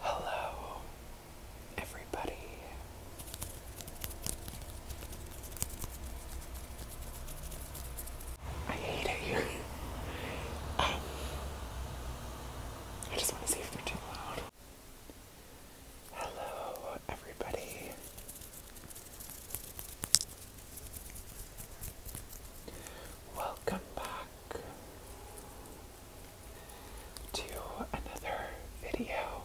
Hello, everybody. I hate it here. Um, I just want to see if they're too loud. Hello, everybody. Welcome back to another video.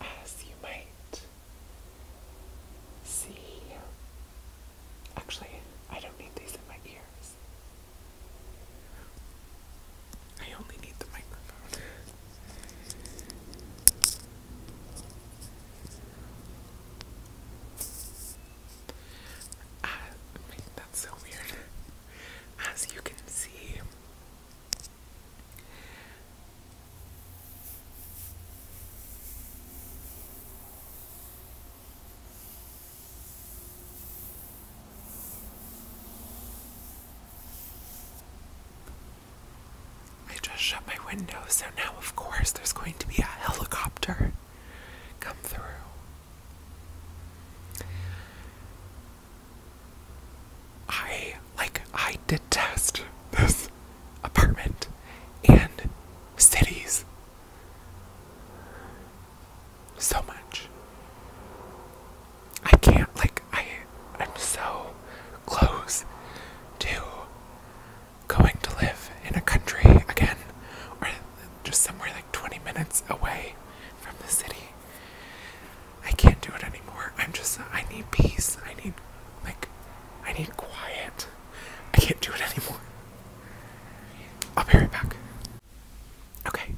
As you might see, actually, I don't need these in my ears. I only need the microphone. Ah, that's so weird. As you can see, I just shut my window, so now, of course, there's going to be a helicopter come through. I, like, I detest this apartment and cities so much. I can't, like, I I'm so close to going to live in a country again or just somewhere like 20 minutes away from the city. I can't do it anymore. I'm just I need peace. I need like I need quiet. I can't do it anymore. I'll be right back. Okay,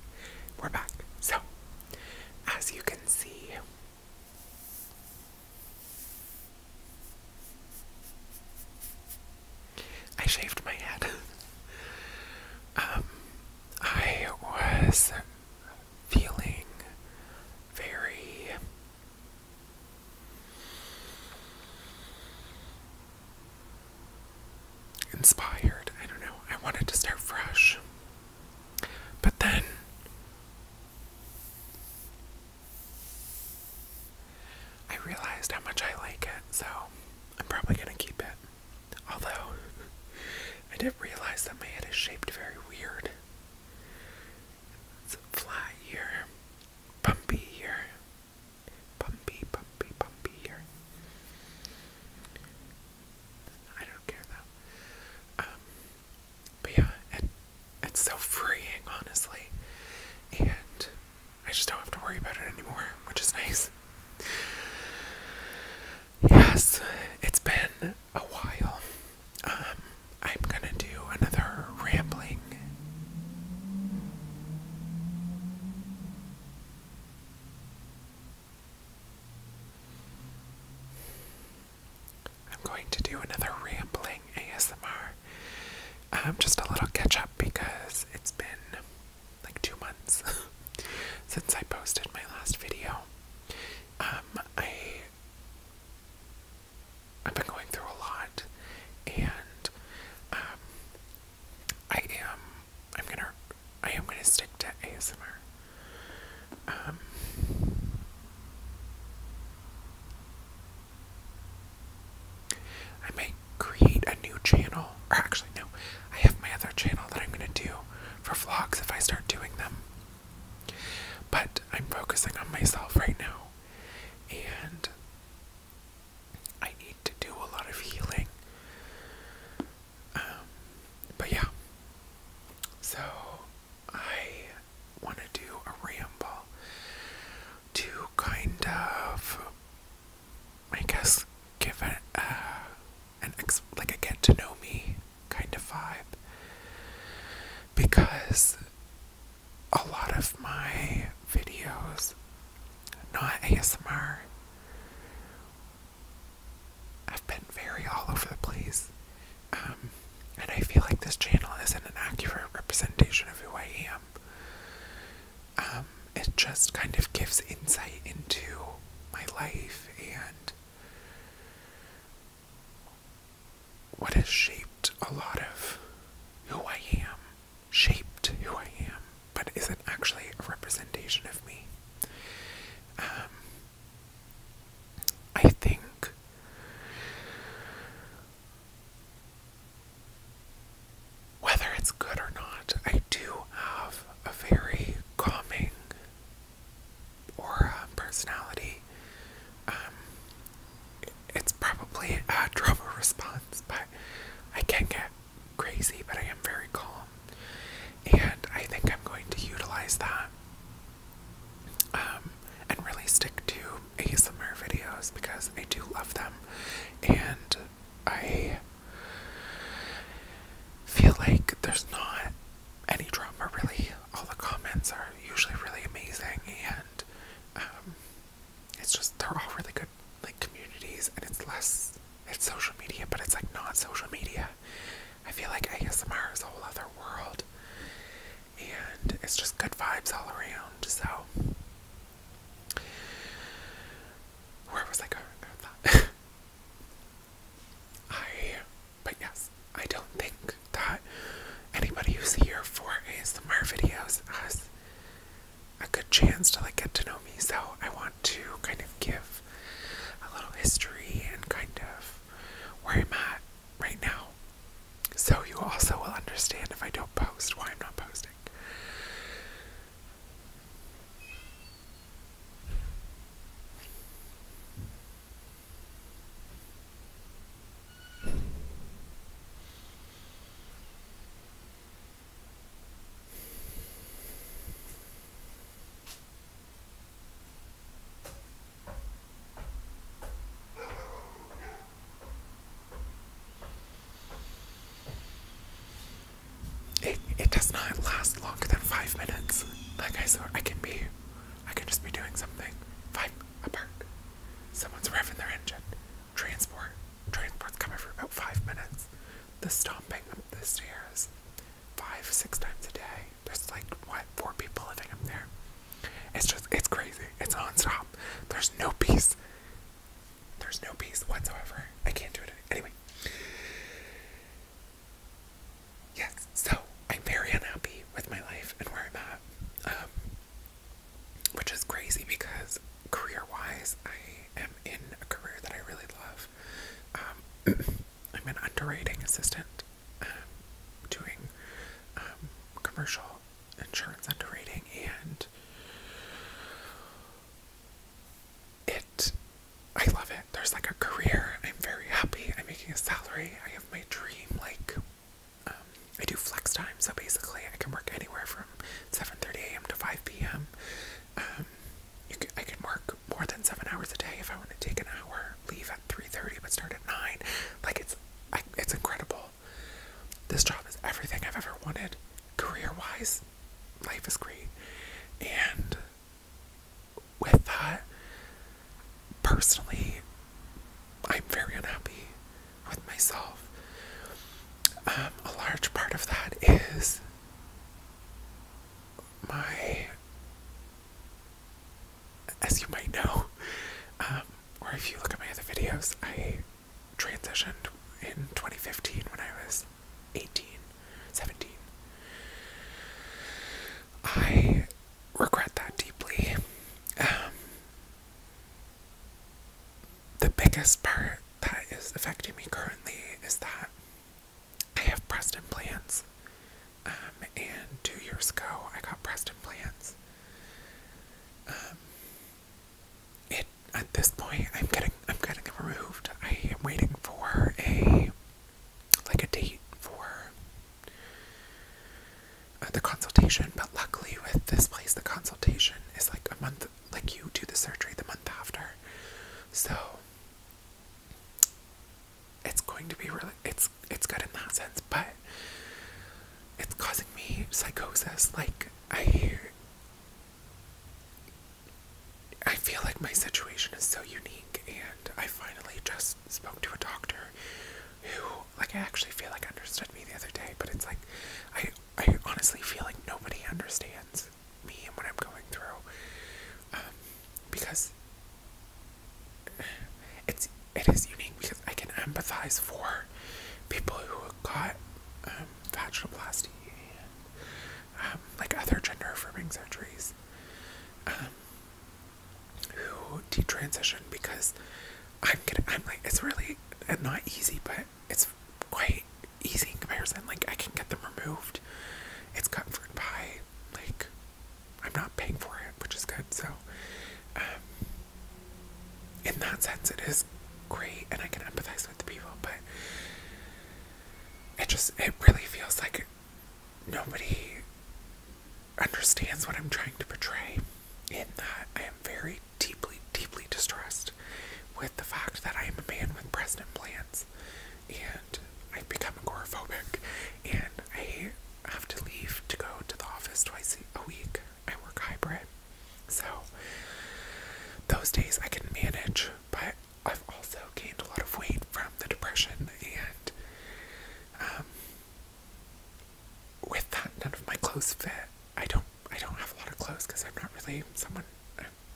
we're back. So, as you can see, I shaved my head. um, I was feeling very inspired. I don't know. I wanted to start fresh. But then I realized how much I like it, so I'm probably gonna keep it. Although, I did not realize that my head is shaped very weird. It's flat here, bumpy here, bumpy, bumpy, bumpy here. I don't care though. Um, but yeah, it's so freeing, honestly. And I just don't have to worry about it anymore, which is nice. Yes, it's been a while. Um, I'm gonna do another rambling. I'm going to do another rambling ASMR. Um, just a little catch up because it's been like two months since I posted my last video. Um, I have been going through a lot, and um, I am I'm gonna I am gonna stick to ASMR. Um, I may create a new channel, or actually, no, I have my other channel that I'm going to do for vlogs if I start doing them. But I'm focusing on myself right now, and I need to do a lot of healing. Um, but yeah, so I want to do a ramble to kind of, I guess, give it a, uh, an ex like a get to know me kind of vibe because a lot of my videos, not ASMR, I've been very all over the place. Um, and I feel like this channel isn't an accurate representation of who I am. Um, it just kind of gives insight into my life and what has shaped a lot of who I am, shaped who I am, but is it actually a representation of me. Um, I think whether it's good or not, I do have a very calming aura personality. Um, it's probably a trauma response, but I can get crazy, but I am very calm. And I think I'm going to utilize that um, and really stick to ASMR videos because I do love them, and I feel like there's not any drama really. All the comments are usually really amazing, and um, it's just they're all really good like communities, and it's less it's social media, but it's like not social media. I feel like ASMR is a whole other world. And it's just good vibes all around. So, where was I going with that? I, but yes, I don't think that anybody who's here for ASMR videos has a good chance to like get to know me. So, I want to kind of give a little history and kind of where I'm at right now. So you also will understand if I don't post why I'm not posting. It, it does not last longer than five minutes. Like I swear, I can be, I can just be doing something. Five apart. Someone's revving their engine. Transport. Transport's coming for about five minutes. The stomping up the stairs five, six times a day. There's like what four people living up there. It's just it's crazy. It's nonstop. There's no peace. There's no peace whatsoever. I can't do it anyway. Yes, so I'm very unhappy with my life and where I'm at, um, which is crazy because career-wise, I am in a career that I really love. Um, I'm an underwriting assistant um, doing um, commercial insurance underwriting, and it, I love it. There's like a career. I'm very happy. I'm making a salary. I have my dream, like, um, I do flex time, so basically I can work anywhere from 7:30 a.m. to 5 p.m. I can work more than seven hours a day if I want to take an hour, leave at 3.30 but start at 9. Like, it's, I, it's incredible. This job is everything I've ever wanted. Career-wise, life is great. And with that, personally, I'm very unhappy with myself. Um, a large part of that is my as you might know, um, or if you look at my other videos, I transitioned in 2015 when I was 18, 17. I regret that deeply. Um, the biggest part that is affecting me currently is that I have Preston plans. Um, and two years ago, I got Preston plans. Um, it at this point, I'm getting I'm getting removed. I am waiting for a like a date for uh, the consultation. But luckily, with this place, the consultation is like a month. Like you do the surgery the month after, so it's going to be really it's it's good in that sense, but it's causing me psychosis. Like I hear, I feel like my situation is so unique and I finally just spoke to a doctor who like I actually feel like understood me the other day, but it's like I I honestly feel like nobody understands me and what I'm going through, um, because it's it is unique because I can empathize for people who got um, vaginoplasty and um, like other gender affirming surgeries, um, who detransition because I'm gonna I'm like it's really not easy, but it's quite easy in comparison. Like I can get them removed it's covered by like I'm not paying for it, which is good. So, um, in that sense, it is great, and I can empathize with the people. But it just it really feels like nobody understands what I'm trying to portray. In that I am very deeply, deeply distressed with the fact that I am a man with breast implants, and I've become agoraphobic, and I have to leave to go to the office twice a week. I work hybrid, so those days I can manage, but I've also gained a lot of weight from the depression, and um, with that, none of my clothes fit. I don't. I don't have a lot of clothes because I'm not really someone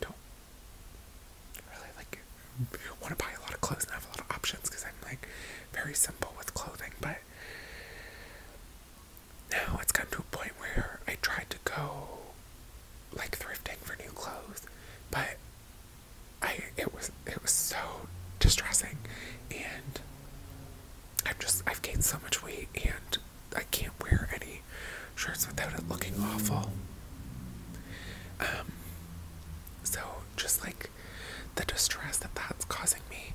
don't really like want to buy a lot of clothes and have a lot of options because I'm like very simple with clothing, but now it's gotten to a point where I tried to go like thrifting for new clothes, but I it was it was so distressing and I've just I've gained so much weight and I can't wear any shirts without it looking awful. Um, so just like the distress that that's causing me,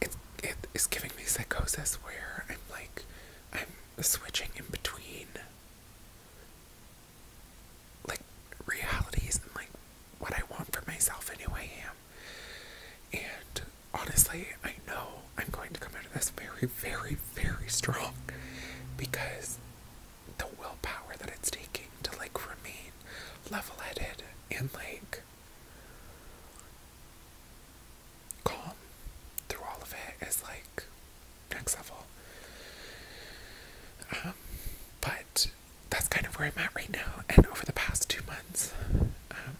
it it is giving me psychosis where I'm like I'm switching in between like realities and like what I want for myself and who I am. And honestly, I know I'm going to come out of this very, very, very strong because the willpower that it's taking to like remain level headed and like calm through all of it is like next level. Um, but that's kind of where I'm at right now. And over the past two months, um,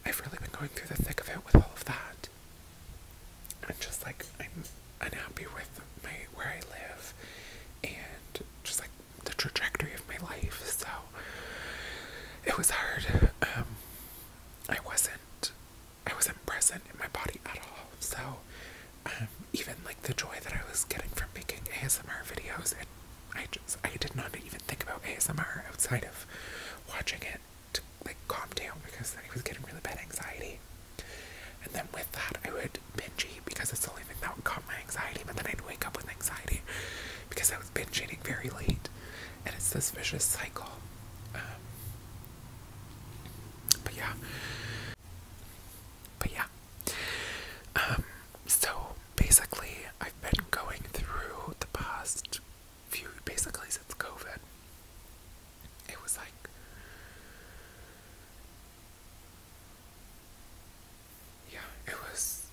I've really been going through the thick of it with all of that. I'm just like I'm unhappy with my where I live and just like the trajectory of my life. So it was hard. Um, I wasn't I wasn't present in my body at all. So um, even like the joy that I was getting from making ASMR videos, it, I just I did not even think about ASMR outside of watching it to like calm down because then I was getting really bad anxiety. And then with that, I would binge eat because it's the only thing that would calm my anxiety. But then I'd wake up with anxiety because I was binge eating very late. And it's this vicious cycle. Um, but yeah. But yeah. Um, so basically, I've been going through the past few, basically since COVID. It was like yeah, it was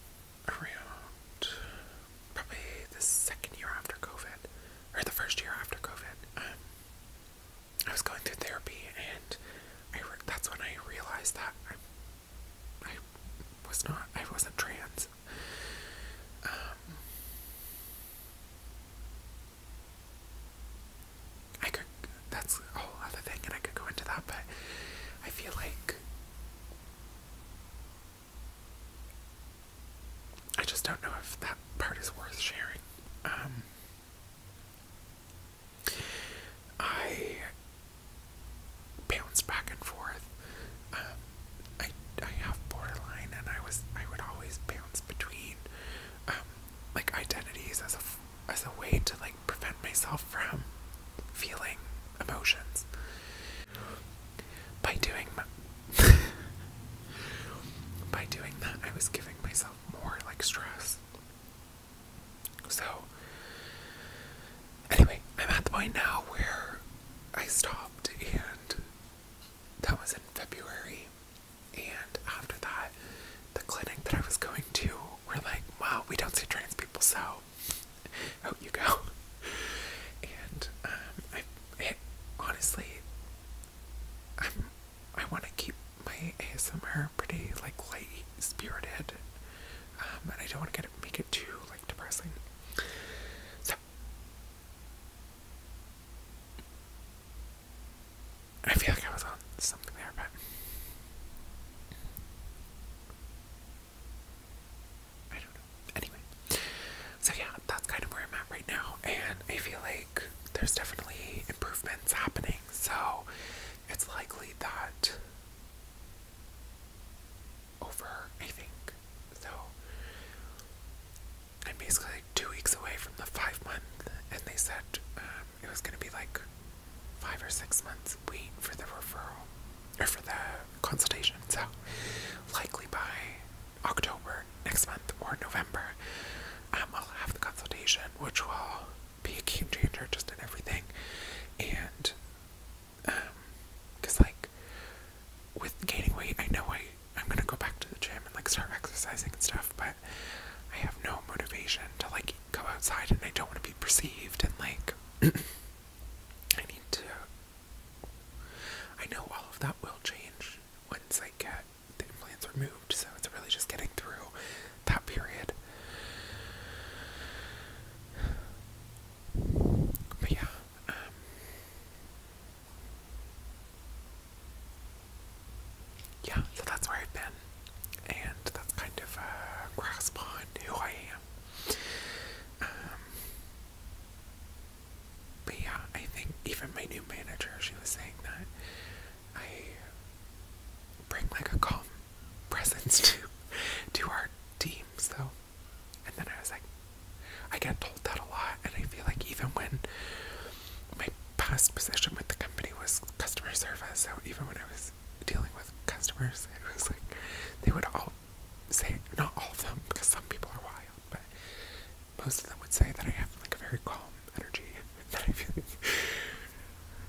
around probably the second year after COVID, or the first year after COVID. Um, I was going through therapy, and I that's when I realized that I, was not, I wasn't trans. Um, I could, that's a whole other thing, and I could go into that, but I feel like I just don't know if that part is worth sharing. Um, I bounce back and forth. Um, I I have borderline, and I was I would always bounce between um, like identities as a as a way to like prevent myself from feeling emotions by doing by doing that I was giving myself more like stress so anyway I'm at the point now where I stopped and that was in February and after that, the clinic that I was going to were like, wow, we don't see trans people, so out you go. And um, I, honestly, I'm, I want to keep my ASMR pretty like light spirited, um, and I don't want to get it, make it too like depressing. So. I feel like I was on something there, but I don't Anyway, so yeah, that's kind of where I'm at right now, and I feel like there's definitely improvements happening, so it's likely that over, I think. So I'm basically like two weeks away from the five month, and they said um, it was going to be like five or six months wait for the referral or for the consultation. So likely by October next month or November, um, I'll have the consultation, which will be a game changer just in everything. And um, cause like with gaining weight, I know I I'm gonna go back to the gym and like start exercising and stuff, but I have no motivation to like go outside and I don't want to be perceived and like I need to I know all of that will change once I get the implants removed, so it's really just getting through that period. But yeah, um, yeah, so that's where I've been, and that's kind of a grasp on who I am. Um, but yeah, I think even my new manager, she was saying that I bring like a calm presence to to our team. So, and then I was like, I get told that a lot, and I feel like even when my past position with the company was customer service, so even when I was dealing with customers, it was like they would all say, not all of them, because some people are wild, but most of them would say that I have like a very calm energy that I feel.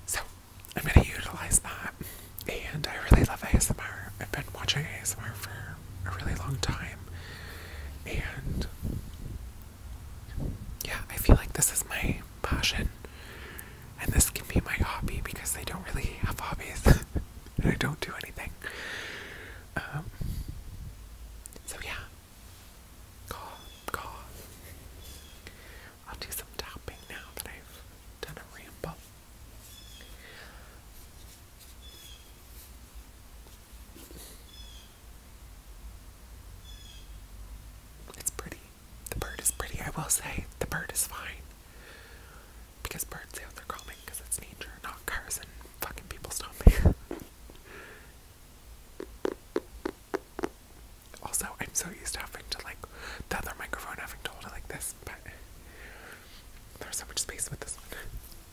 So I'm gonna utilize that, and I really love ASMR. I've been watching ASMR for a really long time, and yeah, I feel like this is my passion. And this can be my hobby because I don't really have hobbies. and I don't do anything. Um, so yeah. Call, call. I'll do some tapping now that I've done a ramble. It's pretty. The bird is pretty, I will say. The bird is fine. Because birds don't—they're calming because it's nature, not cars and fucking people stomping. also, I'm so used to having to like the other microphone having to hold it like this, but there's so much space with this one.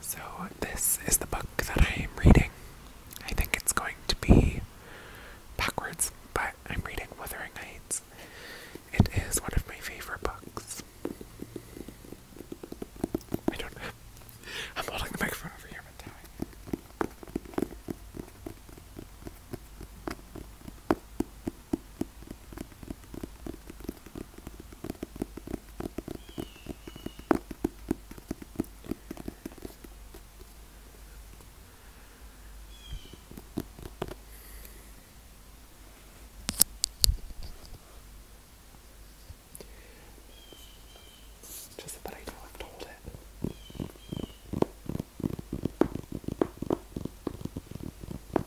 So, this is the book that I am reading. I think it's going to be backwards, but I'm reading Wuthering Heights. It is one of my favorite books. I don't I'm holding the microphone over here, but just that I don't have to hold it.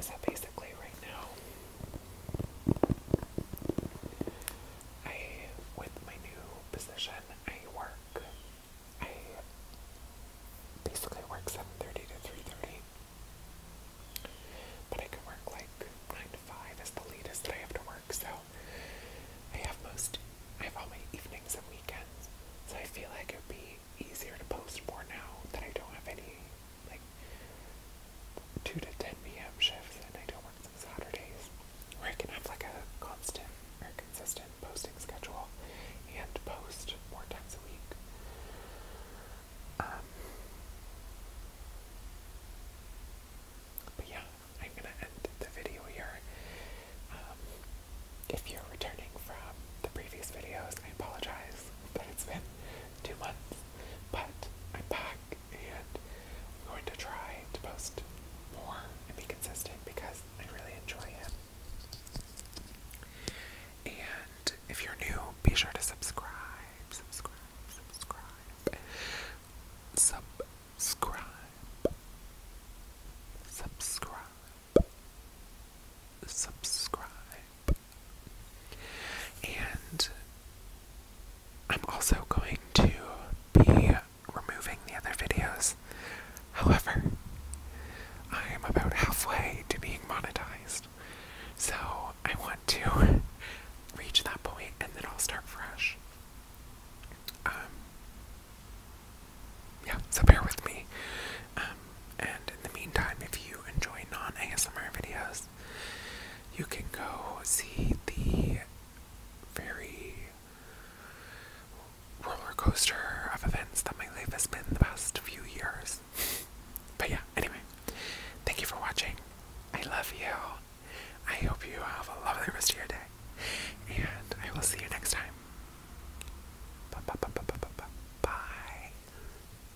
so basically, right now, I, with my new position, I work. I basically work seven thirty to three thirty, but I can work like nine to five is the latest that I have to work. So I have most, I have all my evenings and weekends. So I feel like it would be easier to post more now that I don't have any like 2 to 10 p.m. shifts, and I don't work on Saturdays, where I can have like a constant or consistent posting schedule and post more times a week. Um, but yeah, I'm gonna end the video here. Um, if you're returning from the previous videos, I apologize that it's been two months but I'm and I'm going to try to post more and be consistent because I really enjoy it. And if you're new, be sure to subscribe, subscribe, subscribe, subscribe, subscribe, subscribe. And I'm also going to be removing the other videos. However, I am about halfway to being monetized. So I want to reach that point and then I'll start fresh. Um, yeah, so bear with me. Um, and in the meantime, if you enjoy non ASMR videos, you can go see the very roller coaster of events that my life has been the past few years. But yeah, anyway, thank you for watching. I love you. I hope you have a lovely rest of your day. And I will see you next time. Bye. bye, bye, bye, bye, bye, bye.